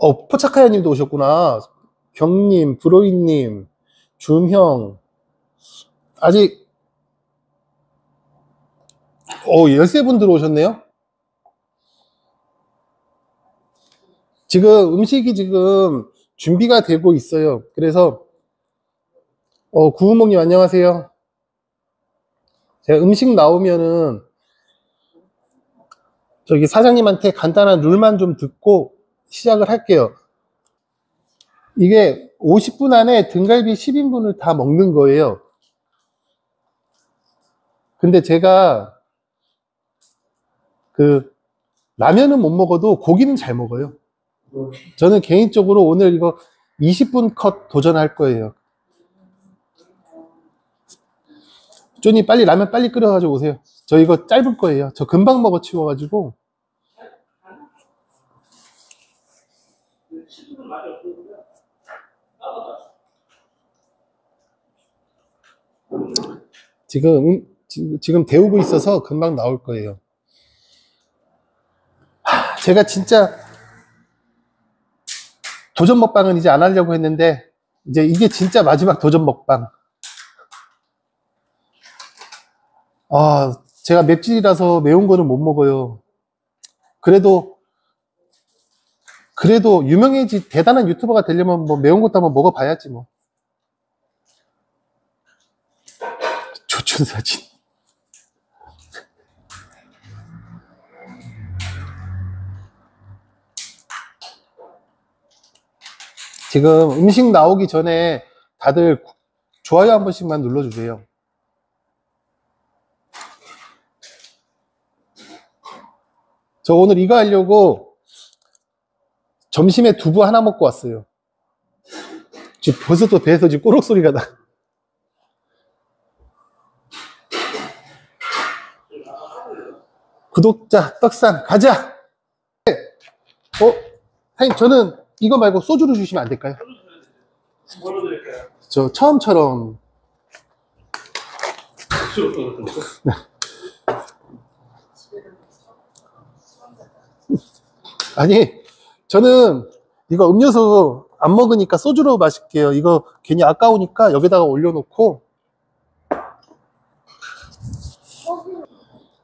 어, 포차카야님도 오셨구나. 경님, 브로이님, 줌형. 아직, 어, 13분 들어오셨네요? 지금 음식이 지금 준비가 되고 있어요. 그래서 어, 구우몽님 안녕하세요. 제가 음식 나오면은 저기 사장님한테 간단한 룰만 좀 듣고 시작을 할게요. 이게 50분 안에 등갈비 10인분을 다 먹는 거예요. 근데 제가 그 라면은 못 먹어도 고기는 잘 먹어요. 저는 개인적으로 오늘 이거 20분 컷 도전할 거예요. 쪼니 빨리 라면 빨리 끓여가지고 오세요. 저 이거 짧을 거예요. 저 금방 먹어 치워가지고. 지금, 지금 배우고 있어서 금방 나올 거예요. 제가 진짜 도전 먹방은 이제 안 하려고 했는데, 이제 이게 진짜 마지막 도전 먹방. 아, 제가 맵찔이라서 매운 거는 못 먹어요. 그래도 그래도 유명해지 대단한 유튜버가 되려면 뭐 매운 것도 한번 먹어봐야지 뭐. 조천사진. 지금 음식 나오기 전에 다들 좋아요 한 번씩만 눌러주세요. 저 오늘 이거 하려고 점심에 두부 하나 먹고 왔어요. 지금 벌써 또 배에서 지금 꼬록 소리가 나. 구독자 떡상 가자. 어, 사장님 저는 이거 말고 소주를 주시면 안 될까요? 뭘로 드릴까요? 저 처음처럼 네. 아니, 저는 이거 음료수 안 먹으니까 소주로 마실게요. 이거 괜히 아까우니까 여기다가 올려놓고.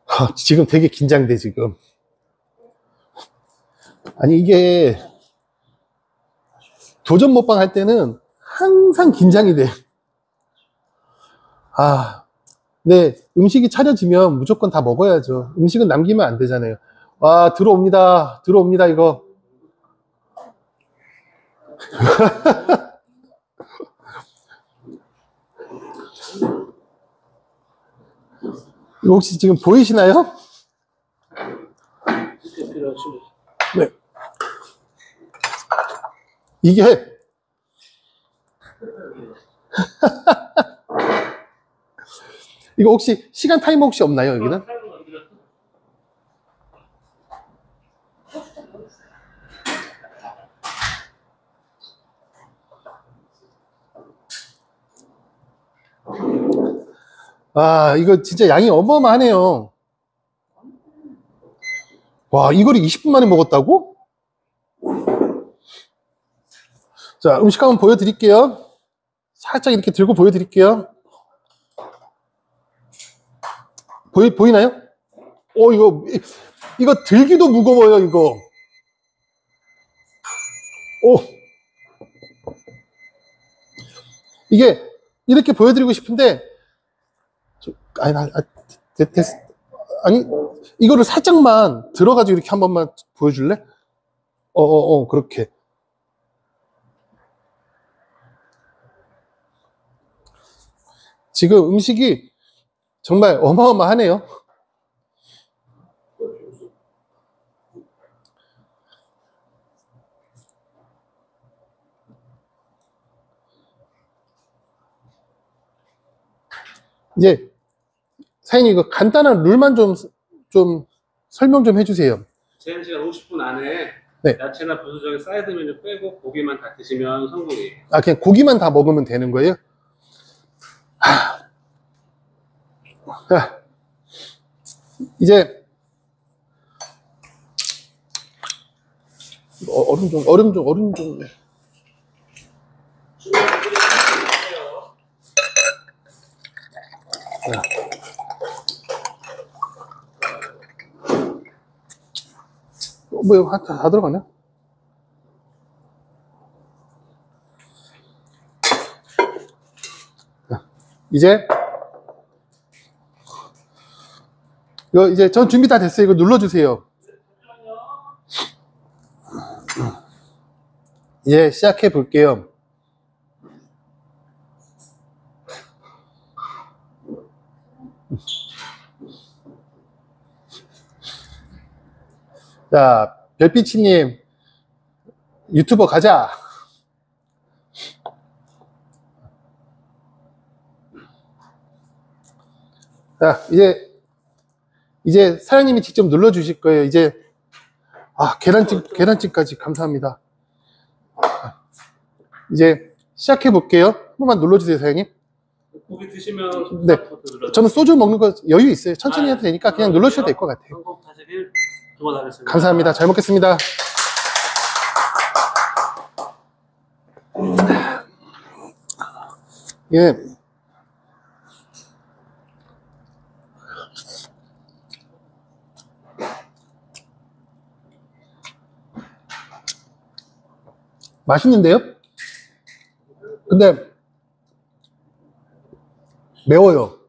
아, 지금 되게 긴장돼, 지금. 아니, 이게 도전 먹방 할 때는 항상 긴장이 돼. 아, 네, 음식이 차려지면 무조건 다 먹어야죠. 음식은 남기면 안 되잖아요. 와, 아, 들어옵니다. 들어옵니다, 이거. 혹시 지금 보이시나요? 네. 이게 이거 혹시 시간 타이머 혹시 없나요 여기는? 아 이거 진짜 양이 어마어마하네요 와 이거를 20분 만에 먹었다고? 자, 음식 한번 보여드릴게요. 살짝 이렇게 들고 보여드릴게요. 보이, 보이나요? 어, 이거, 이거 들기도 무거워요, 이거. 오. 이게 이렇게 보여드리고 싶은데 저, 아니, 아니, 아, 아니, 이거를 살짝만 들어가지고 이렇게 한 번만 보여줄래? 어어어, 어, 어, 그렇게. 지금 음식이 정말 어마어마하네요. 이제 사장님 이거 간단한 룰만 좀, 좀 설명 좀 해주세요. 제한 시간 50분 안에 네. 야채나 부수적인 사이드 메뉴 빼고 고기만 다 드시면 성공이에요. 아 그냥 고기만 다 먹으면 되는 거예요? 하... 자, 이제 어, 얼음 좀, 얼음 좀, 얼음 좀. 야. 뭐, 이거 다, 다 들어가냐? 야. 이제, 이거 이제 전 준비 다 됐어요. 이거 눌러주세요. 이제 예, 시작해 볼게요. 자, 별빛이님, 유튜버 가자. 자, 이제 이제 사장님이 직접 눌러 주실 거예요. 이제 아 계란찜 계란찜까지 감사합니다. 이제 시작해 볼게요. 한 번만 눌러 주세요, 사장님. 고기 드시면 네. 저는 소주 먹는 거 여유 있어요. 천천히 아, 해도 되니까 그냥 눌러 주셔도 될 것 같아요. 감사합니다. 잘 먹겠습니다. 이게 예. 맛있는데요? 근데 매워요.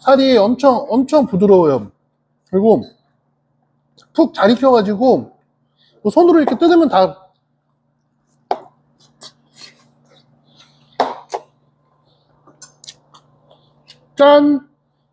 살이 엄청 엄청 부드러워요 그리고 푹 잘 익혀가지고 뭐 손으로 이렇게 뜯으면 다 짠!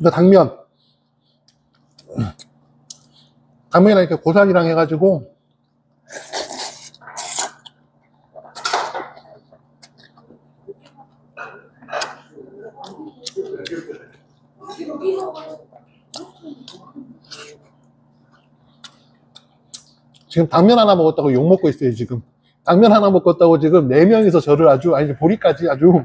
이거 당면 당면이랑 이렇게 고사리랑 해가지고 지금 당면 하나 먹었다고 욕 먹고 있어요 지금 당면 하나 먹었다고 지금 네 명이서 저를 아주 아니 보리까지 아주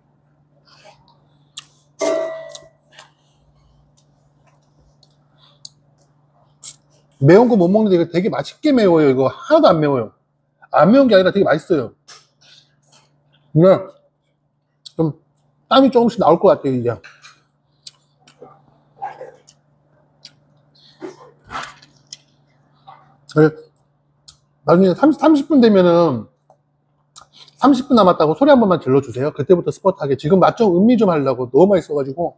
매운 거 못 먹는데 이거 되게 맛있게 매워요. 이거 하나도 안 매워요. 안 매운 게 아니라 되게 맛있어요. 근데 그러니까 좀 땀이 조금씩 나올 것 같아요, 이제. 네. 나중에 30, 30분 되면은 30분 남았다고 소리 한 번만 질러주세요. 그때부터 스포트하게. 지금 맛 좀 음미 좀 하려고 너무 맛있어가지고.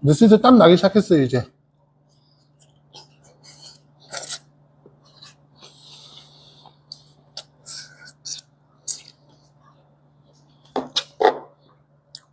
근데 슬슬 땀 나기 시작했어요 이제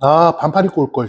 아 반팔 입고 올걸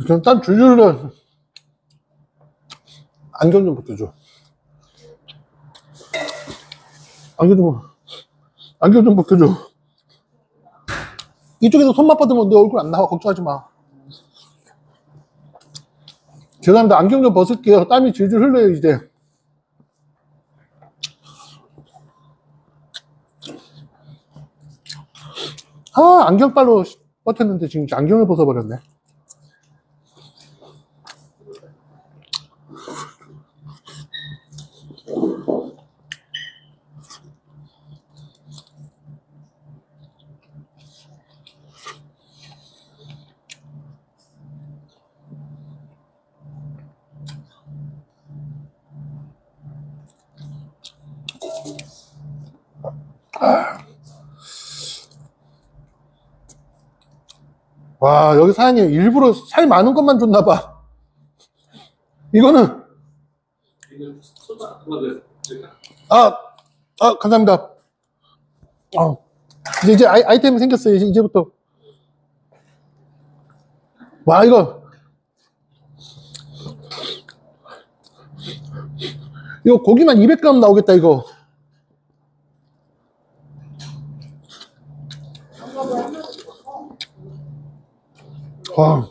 지금 딴 줄줄로 안경 좀 벗겨줘. 안경 좀, 안경 좀 벗겨줘. 이쪽에서 손만 뻗으면 내 얼굴 안 나와. 걱정하지 마. 죄송합니다. 안경 좀 벗을게요. 땀이 줄줄 흘러요, 이제. 아, 안경빨로 버텼는데 지금 안경을 벗어버렸네. 와 여기 사장님 일부러 살 많은 것만 줬나봐 이거는 아, 아 감사합니다 아, 이제, 이제 아이, 아이템이 생겼어요 이제, 이제부터 와 이거 이거 고기만 200g 나오겠다 이거 와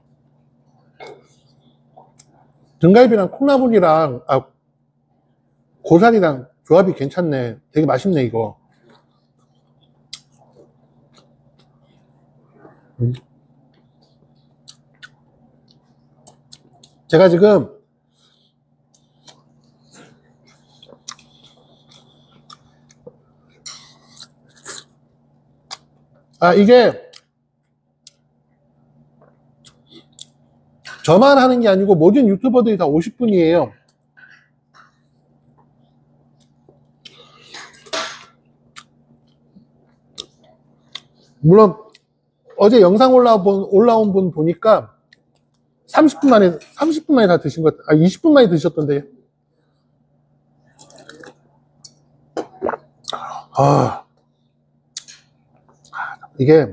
등갈비랑 콩나물이랑 아 고사리랑 조합이 괜찮네 되게 맛있네 이거 음. 제가 지금 아 이게 저만 하는 게 아니고 모든 유튜버들이 다 50분이에요. 물론 어제 영상 올라온, 올라온 분 보니까 30분 만에 30분 만에 다 드신 것 같아. 아 20분 만에 드셨던데요. 아 이게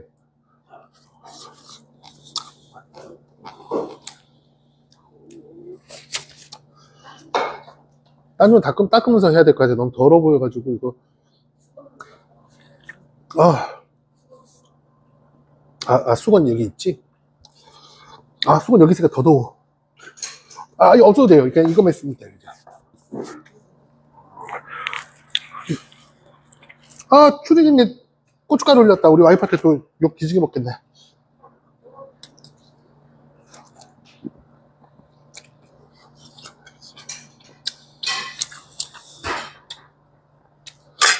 딴좀 닦음, 닦으면서 해야 될것 같아. 너무 더러워 보여가지고, 이거. 아. 아, 아 수건 여기 있지? 아, 수건 여기 있으니까 더 더워. 아, 이거 없어도 돼요. 그냥 이거만 있으면 돼요. 아, 추리김에 고춧가루 올렸다. 우리 와이프한테 또욕 기지개 먹겠네.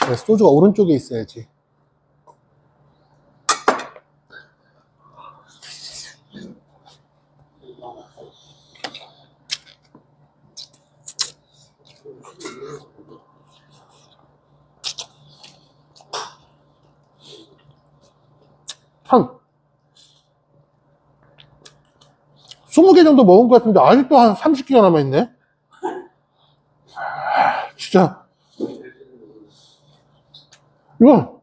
그래, 네, 소주가 오른쪽에 있어야지. 한 20개 정도 먹은 것 같은데 아직도 한 30개가 남아있네 아, 진짜 이거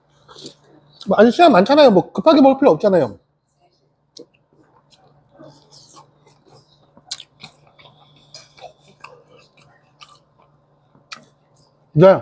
뭐 아직 시간 많잖아요. 뭐 급하게 먹을 필요 없잖아요. 네.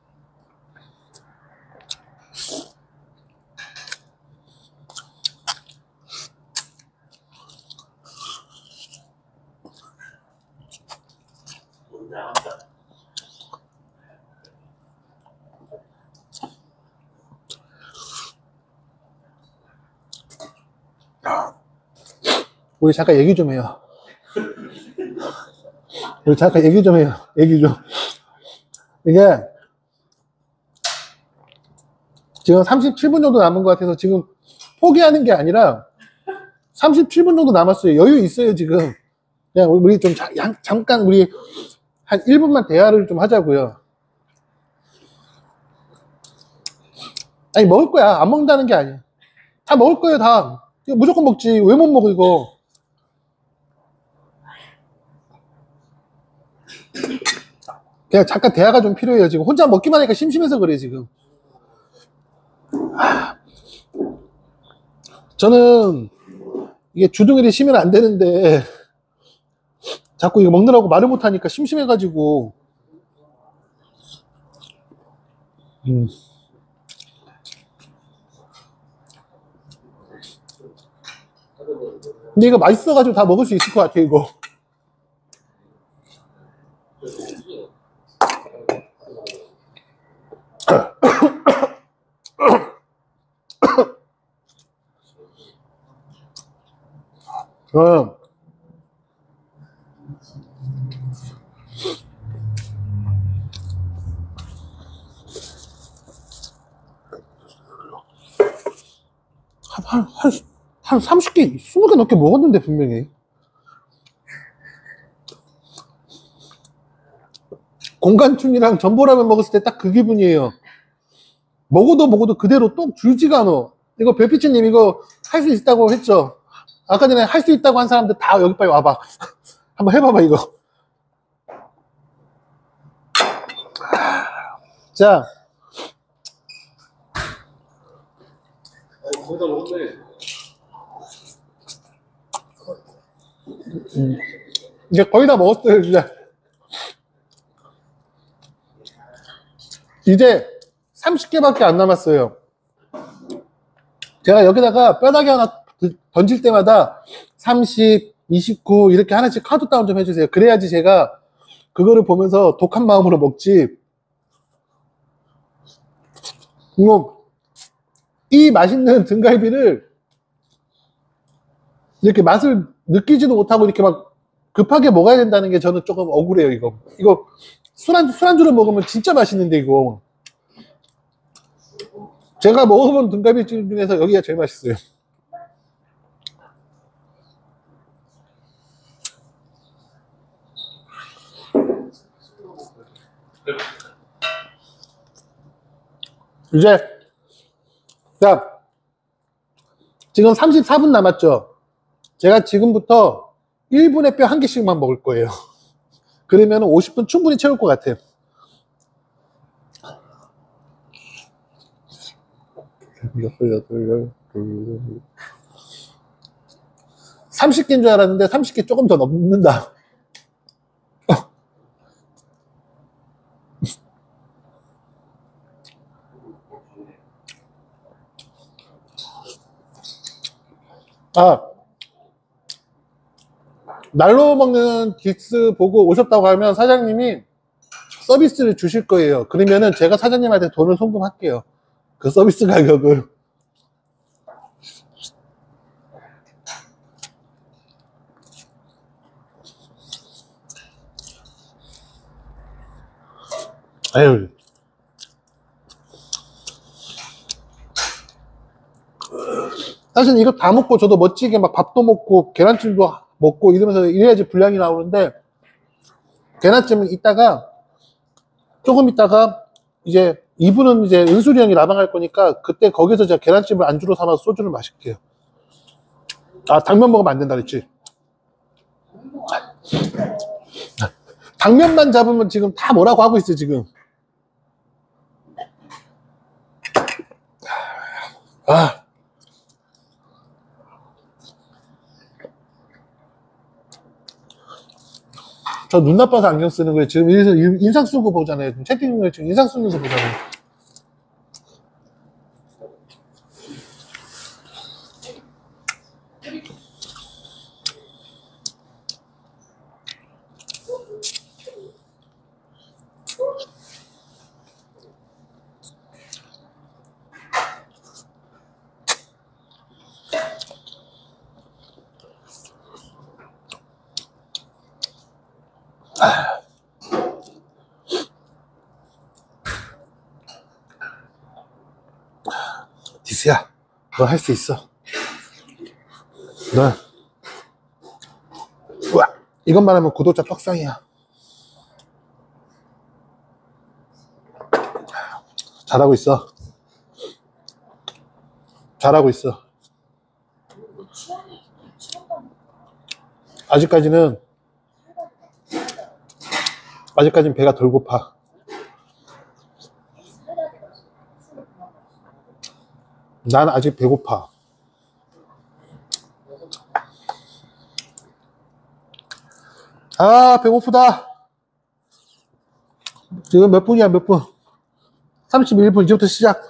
우리 잠깐 얘기 좀 해요. 우리 잠깐 얘기 좀 해요. 얘기 좀. 이게 지금 37분 정도 남은 것 같아서 지금 포기하는 게 아니라 37분 정도 남았어요. 여유 있어요, 지금. 그냥 우리 좀 자, 양, 잠깐 우리 한 1분만 대화를 좀 하자고요. 아니, 먹을 거야. 안 먹는다는 게 아니야. 다 먹을 거예요, 다. 무조건 먹지. 왜 못 먹어, 이거. 그냥 잠깐 대화가 좀 필요해요 지금 혼자 먹기만 하니까 심심해서 그래 지금 저는 이게 주둥이를 쉬면 안 되는데 자꾸 이거 먹느라고 말을 못하니까 심심해가지고 음. 근데 이거 맛있어가지고 다 먹을 수 있을 것 같아 이거 음. 한, 한, 한 30개, 20개 넘게 먹었는데, 분명히. 공간충이랑 전보라면 먹었을 때 딱 그 기분이에요. 먹어도 먹어도 그대로 똥 줄지가 않아. 이거 별빛이님 이거 할 수 있다고 했죠? 아까 전에 할 수 있다고 한 사람들 다 여기 빨리 와봐. 한번 해봐봐, 이거. 자. 음. 이제 거의 다 먹었어요, 이제. 이제 30개밖에 안 남았어요. 제가 여기다가 뼈다귀 하나 들, 던질 때마다 30, 29 이렇게 하나씩 카드 다운 좀 해주세요. 그래야지 제가 그거를 보면서 독한 마음으로 먹지. 이거 이 맛있는 등갈비를 이렇게 맛을 느끼지도 못하고 이렇게 막 급하게 먹어야 된다는 게 저는 조금 억울해요, 이거. 이거 술안주, 술안주로 먹으면 진짜 맛있는데, 이거. 제가 먹어본 등갈비집 중에서 여기가 제일 맛있어요 이제 자 지금 34분 남았죠 제가 지금부터 1분에 뼈 한 개씩만 먹을 거예요 그러면 50분 충분히 채울 것 같아요 여덟, 여덟, 열, 둘, 30개인 줄 알았는데 30개 조금 더 넘는다. 아, 날로 먹는 디스 보고 오셨다고 하면 사장님이 서비스를 주실 거예요. 그러면은 제가 사장님한테 돈을 송금할게요. 그 서비스 가격을. 아유. 사실 이거 다 먹고 저도 멋지게 막 밥도 먹고 계란찜도 먹고 이러면서 이래야지 분량이 나오는데 계란찜은 이따가 조금 이따가 이제 이분은 이제 은수이 형이 나방 갈 거니까 그때 거기서 제가 계란찜을 안주로 삼아서 소주를 마실게요. 아 당면 먹으면 안 된다 그랬지. 당면만 잡으면 지금 다 뭐라고 하고 있어 지금. 아. 저눈 나빠서 안경 쓰는 거예요. 지금 여기서 인상 쓰고 보잖아요. 지금 채팅을 지금 인상 쓰면서 보잖아요. 디스야, 너할 수 있어. 너 우와, 이것만 하면 구독자 떡상이야. 잘하고 있어. 잘하고 있어. 아직까지는 아직까지는 배가 덜 고파. 난 아직 배고파. 아 배고프다 지금 몇 분이야 몇 분? 31분 이제부터 시작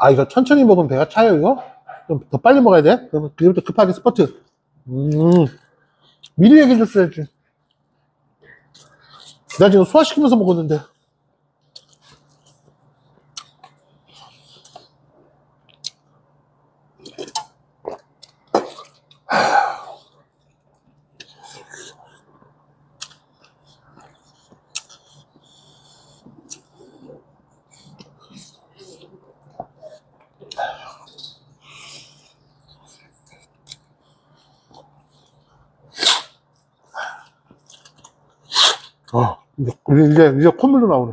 아 이거 천천히 먹으면 배가 차요 이거? 좀 더 빨리 먹어야 돼? 그럼 지금부터 급하게 스포트 음 미리 얘기해 줬어야지 나 지금 소화시키면서 먹었는데 아, 이제, 이제 콧물도 나오네.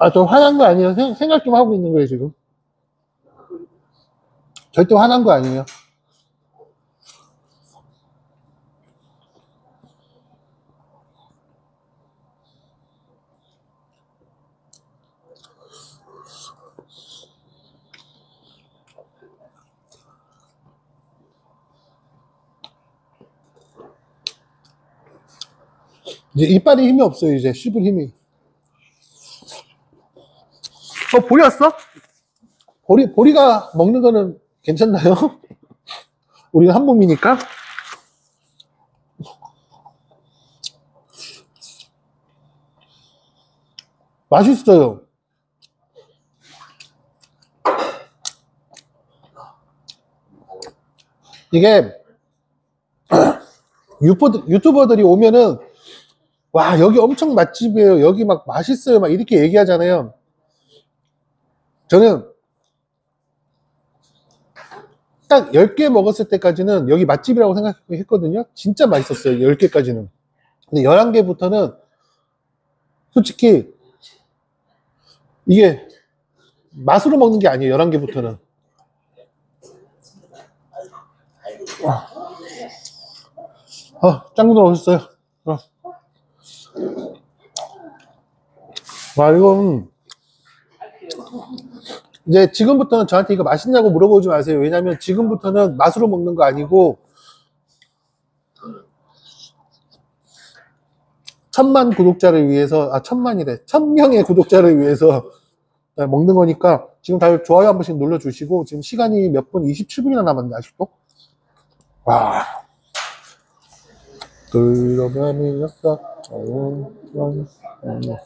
아, 저 화난 거 아니에요. 생각 좀 하고 있는 거예요, 지금. 절대 화난 거 아니에요. 이제 이빨이 힘이 없어요 이제 씹을 힘이 어 보리 왔어? 보리, 보리가 먹는 거는 괜찮나요? 우리가 한 몸이니까 맛있어요. 이게 유튜버들이 오면은 와 여기 엄청 맛집이에요 여기 막 맛있어요 막 이렇게 얘기하잖아요 저는 딱 10개 먹었을 때까지는 여기 맛집이라고 생각했거든요. 진짜 맛있었어요. 10개까지는. 근데 11개부터는 솔직히 이게 맛으로 먹는 게 아니에요. 11개부터는. 와. 아, 어, 아, 짱구들 오셨어요. 어. 아. 와, 이건 이제 지금부터는 저한테 이거 맛있냐고 물어보지 마세요. 왜냐면 지금부터는 맛으로 먹는 거 아니고 천만 구독자를 위해서 아 천만이래 천명의 구독자를 위해서 네, 먹는 거니까 지금 다들 좋아요 한 번씩 눌러주시고 지금 시간이 몇 분 27분이나 남았네 아직도 와 그러면 이었어 네.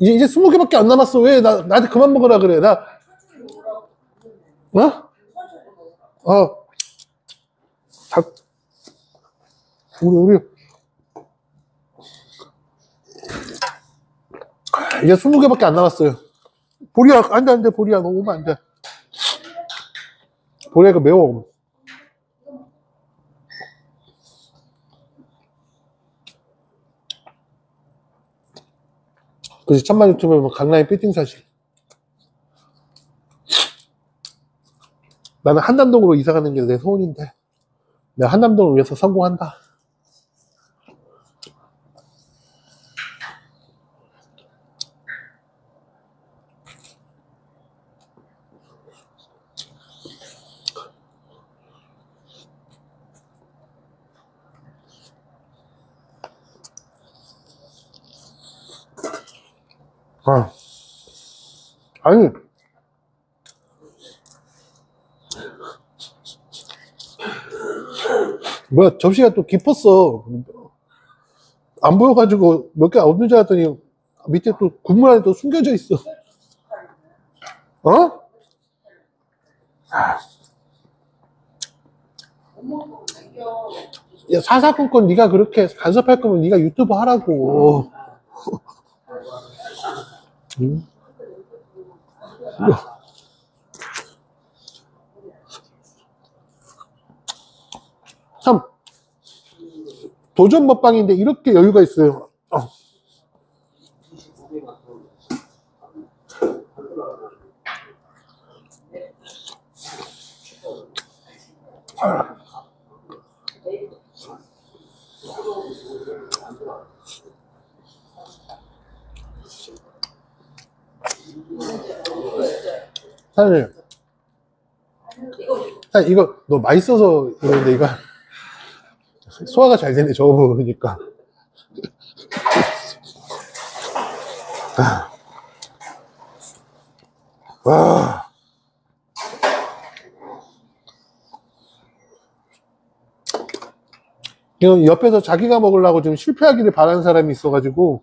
이제 이제 20개밖에 안 남았어. 왜 나, 나한테 그만 먹으라 그래. 나 어? 어. 다 우리 우리 이제 20개밖에 안 남았어요. 보리야 안돼 안돼 보리야 너 오면 안돼. 보리가 그 매워. 그래서 천만 유튜브에 보면 강남에 피팅 사실. 나는 한남동으로 이사가는 게 내 소원인데, 내가 한남동을 위해서 성공한다. 아, 아니. 뭐야, 접시가 또 깊었어. 안 보여가지고 몇 개 없는 줄 알았더니 밑에 또 국물 안에 또 숨겨져 있어. 어? 야, 사사건건 네가 그렇게 간섭할 거면 네가 유튜브 하라고. 음? 참 도전 먹방인데 이렇게 여유가 있어요 어. 사장님 아, 이거 너 맛있어서 이러는데 이거 소화가 잘 되네 저거 먹으니까 아. 와 지금 옆에서 자기가 먹으려고 지금 실패하기를 바라는 사람이 있어가지고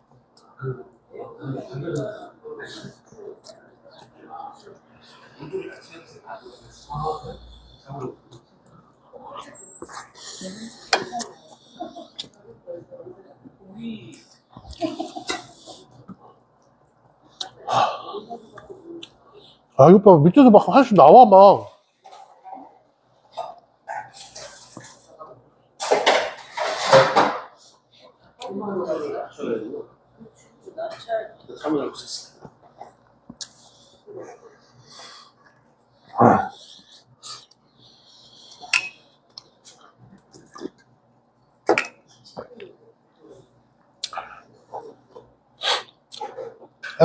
아, 이거 봐. 밑에서 막 한씩 나와, 막. 엄마는 낮춰야 되고 낮춰야 돼 잠을 잘 못했어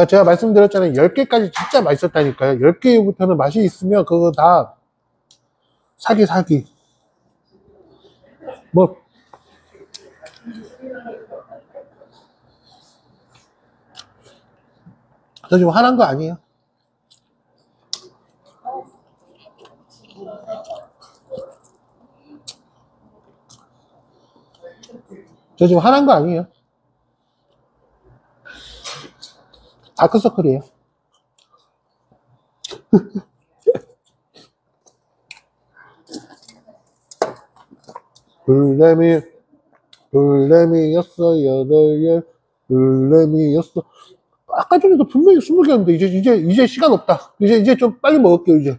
제가 말씀드렸잖아요. 10개까지 진짜 맛있었다니까요. 10개부터는 맛이 있으면 그거 다 사기 사기 뭐 저 지금 화난 거 아니에요 저 지금 화난 거 아니에요 다크서클이에요 불레미 불레미였어 여덟 열 불레미였어 아까 전에도 분명히 스무 개였는데 이제 이제 이제 시간 없다 이제 이제 좀 빨리 먹을게요 이제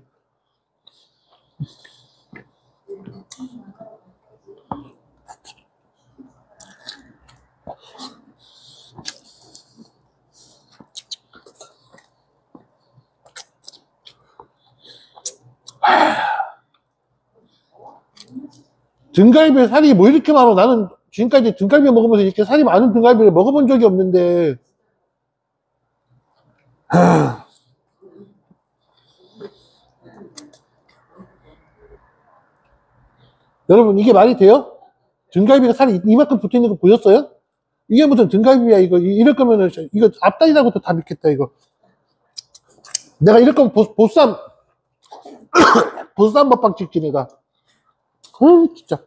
등갈비에 살이 뭐 이렇게 많아 나는 지금까지 등갈비 먹으면서 이렇게 살이 많은 등갈비를 먹어본 적이 없는데 하... 여러분 이게 말이 돼요? 등갈비가 살이 이만큼 붙어 있는 거 보였어요? 이게 무슨 등갈비야 이거 이럴 거면은 이거 앞다리라고도 다 믿겠다 이거 내가 이럴 거면 보, 보쌈 보쌈 먹방 찍지 내가 음 진짜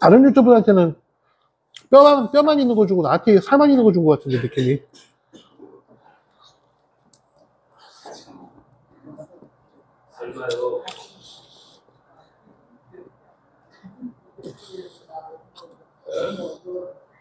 다른 유튜브한테는 뼈만, 뼈만 있는 거 주고 나한테 살만 있는 거 준 거 같은데, 느낌이.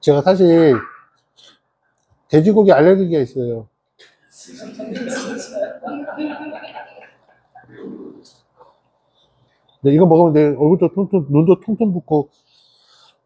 제가 사실 돼지고기 알레르기가 있어요. 근데 이거 먹으면 내 얼굴도 통통, 눈도 통통 붓고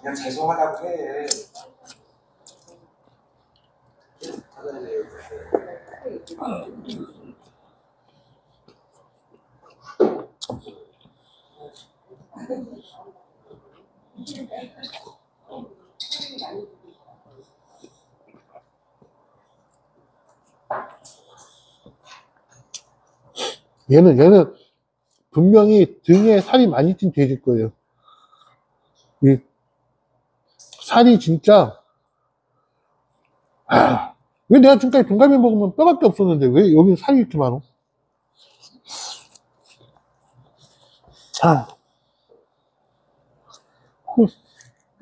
그냥 죄송하다고 해. 얘는 얘는 분명히 등에 살이 많이 찐 돼질 거예요. 이 살이 진짜 아, 왜 내가 지금까지 동갈비 먹으면 뼈밖에 없었는데 왜 여기 살이 이렇게 많어? 아. 뭐,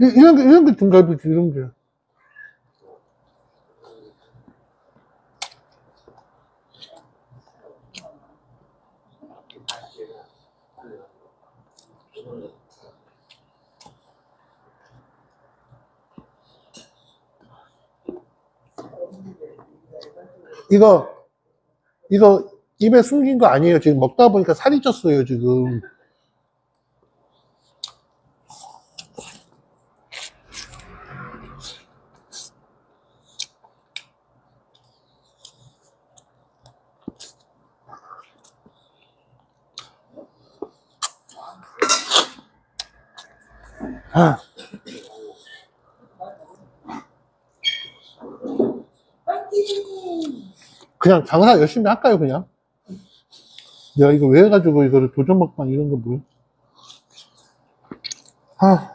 이런 게, 이런 게 등갈비지, 이런 게. 이거 이거 입에 숨긴 거 아니에요. 지금 먹다 보니까 살이 쪘어요, 지금. 아. 그냥 장사 열심히 할까요 그냥? 야 이거 왜 해가지고 이거를 도전막방 이런 거 뭐야? 아.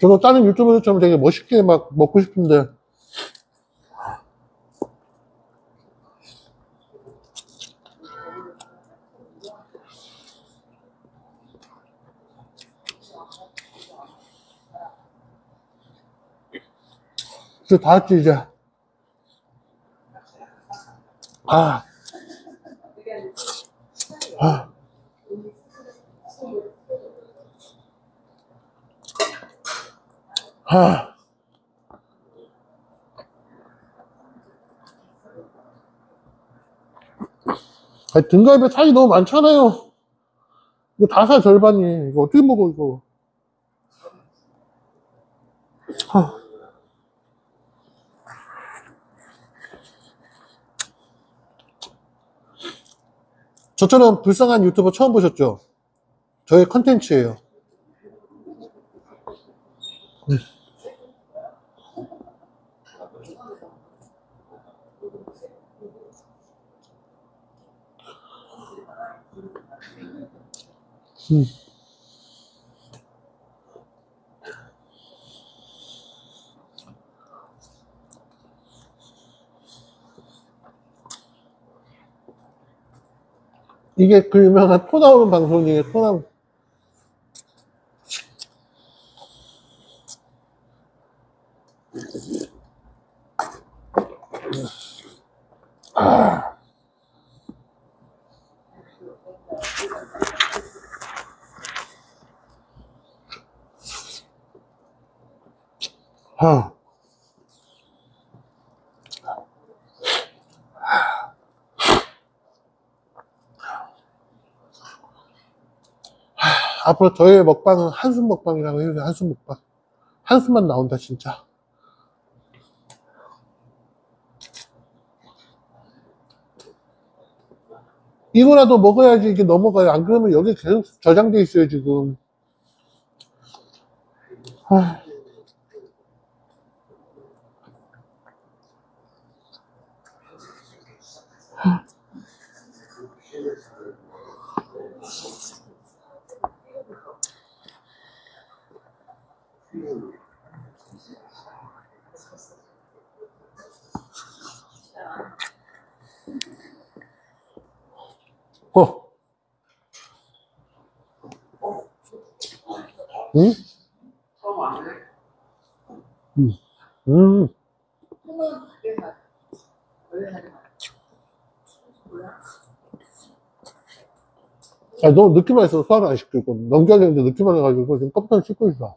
저도 다른 유튜버들처럼 되게 멋있게 막 먹고 싶은데 이제 다 했지 이제 아. 아. 하. 아, 등갈비 살이 너무 많잖아요. 이거 다사 절반이. 이거 어떻게 먹어, 이거. 하. 저처럼 불쌍한 유튜버 처음 보셨죠? 저의 컨텐츠예요. 음. 음. 이게 그 유명한 토 나오는 방송 중에 토 나오는 아. 하. 앞으로 저의 먹방은 한숨 먹방이라고 해주세요. 한숨 먹방. 한숨만 나온다, 진짜. 이거라도 먹어야지 이게 넘어가요. 안 그러면 여기 계속 저장돼 있어요, 지금. 하... 하... 어. 응? 응. 응. 아, 너무 늦게만 했어. 소화를 안 시키고. 넘겨야 되는데 늦게만 해가지고 지금 껍질 씻고 있어.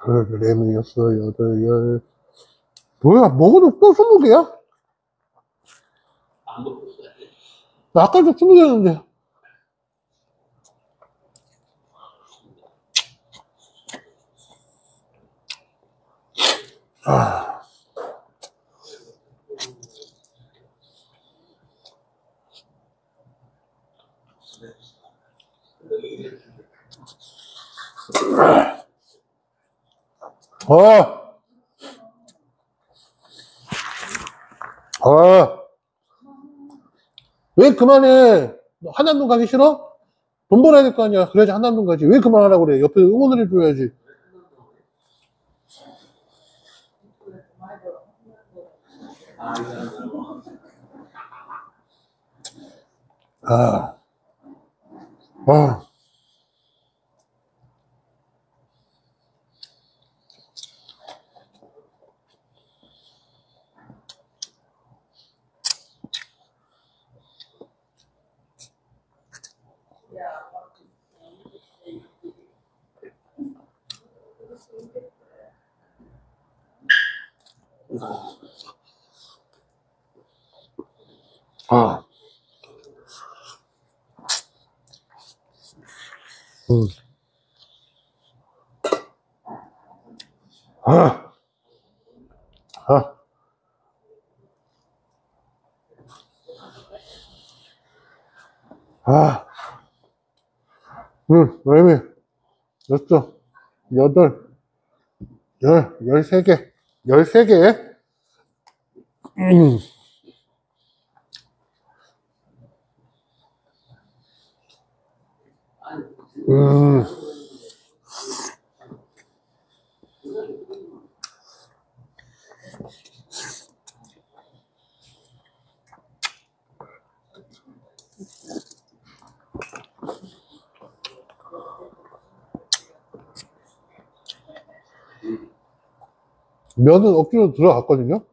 그 레몬 여섯 여덟 열 뭐야 먹어도 또 스무 개야? 나 아까도 스무 개였는데 아. 어. 어. 왜 그만해? 하나도 가기 싫어? 돈 벌어야 될 거 아니야. 그래야지 한다는 거지. 왜 그만하라고 그래? 옆에 응원을 해줘야지. 아, 아. 아. 음. 아. 어. 아, 음, 레미, 몇죠 여덟, 열, 열세 개, 열세 개. 음. 음. 면은 억지로 들어갔거든요.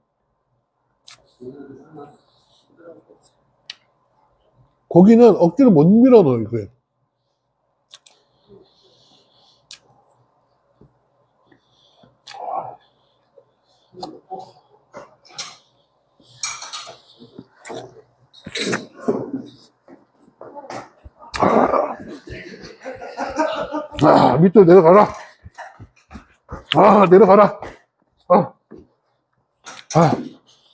고기는 억지로 못 밀어 넣어요, 그래. 아, 밑으로 내려가라. 아, 내려가라. 아, 아.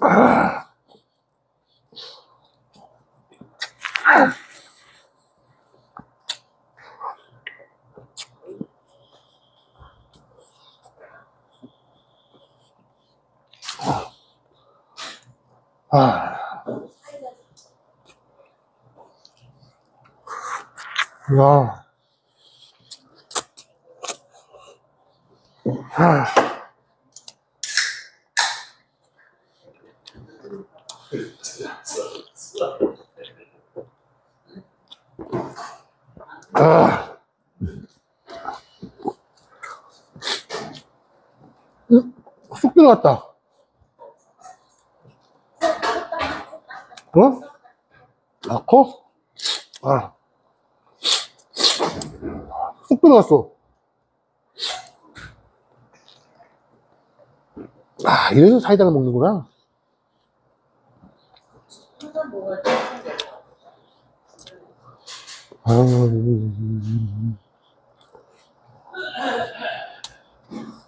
아. 야. 아. 쑥 들어갔다. 어? 넣고 아, 아. 쑥 들어갔어 아 이래서 사이다를 먹는구나 아... 음, 음, 음,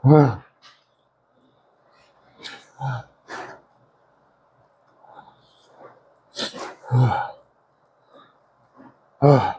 啊！啊！啊！啊！啊！啊！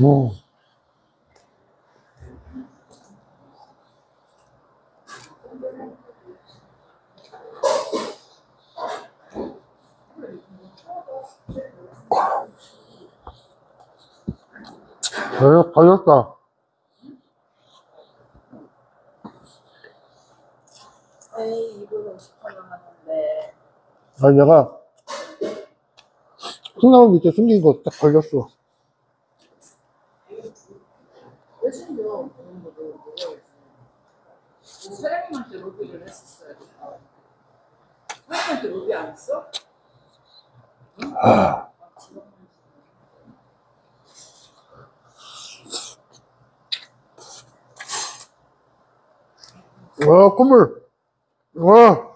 오. 걸렸, 어, 걸렸다. 에이, 이거 50천 원 하는데. 아니, 내가 콩나물 밑에 숨긴 거 딱 걸렸어. 왜 숨겨? 뭐 그런 거도 모르겠지. 뭐, 뭐 사장님한테 로비를 했었어야 돼. 사장님한테 로비 안 했어? 응? 아. 아 와, 국물. 와.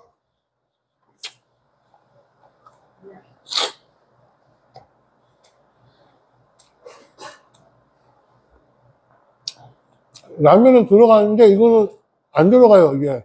라면은 들어가는데 이거는 안 들어가요, 이게.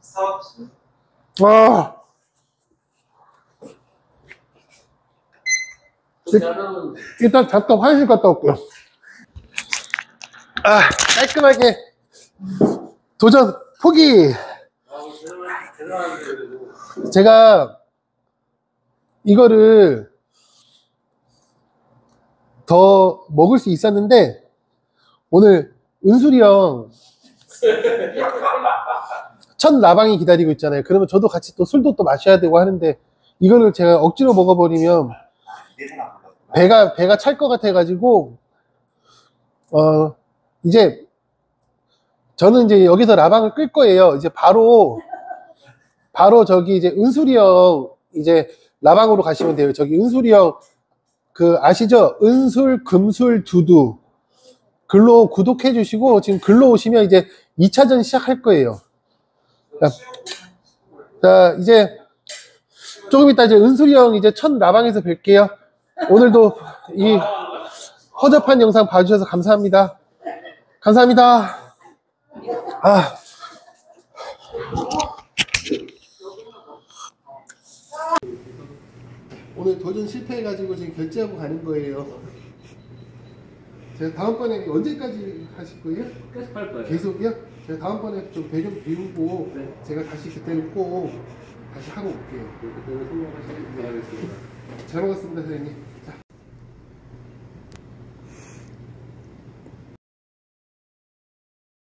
사업수. 아. 일단 잠깐 화장실 갔다 올게요. 아, 깔끔하게 도전 포기. 제가 이거를 더 먹을 수 있었는데 오늘 은술이 형 첫 라방이 기다리고 있잖아요. 그러면 저도 같이 또 술도 또 마셔야 되고 하는데 이거를 제가 억지로 먹어버리면 배가 배가 찰 것 같아가지고 어 이제 저는 이제 여기서 라방을 끌 거예요. 이제 바로 바로 저기 이제 은술이 형 이제 라방으로 가시면 돼요. 저기 은술이 형그 아시죠? 은술, 금술, 두두 글로 구독해 주시고 지금 글로 오시면 이제 2차전 시작할 거예요. 자, 자 이제 조금 이따 이제 은술이 형 이제 첫 라방에서 뵐게요. 오늘도 이 허접한 영상 봐주셔서 감사합니다. 감사합니다. 아. 오늘 도전 실패해가지고 지금 결제하고 가는 거예요. 제가 다음번에 언제까지 하실 거예요? 계속 할 거예요. 계속이요? 제가 다음번에 좀 배경 비우고 네. 제가 다시 그때는 꼭 다시 하고 올게요. 네, 그때는 성공하시길 바라겠습니다. 잘 먹었습니다, 선생님. 자.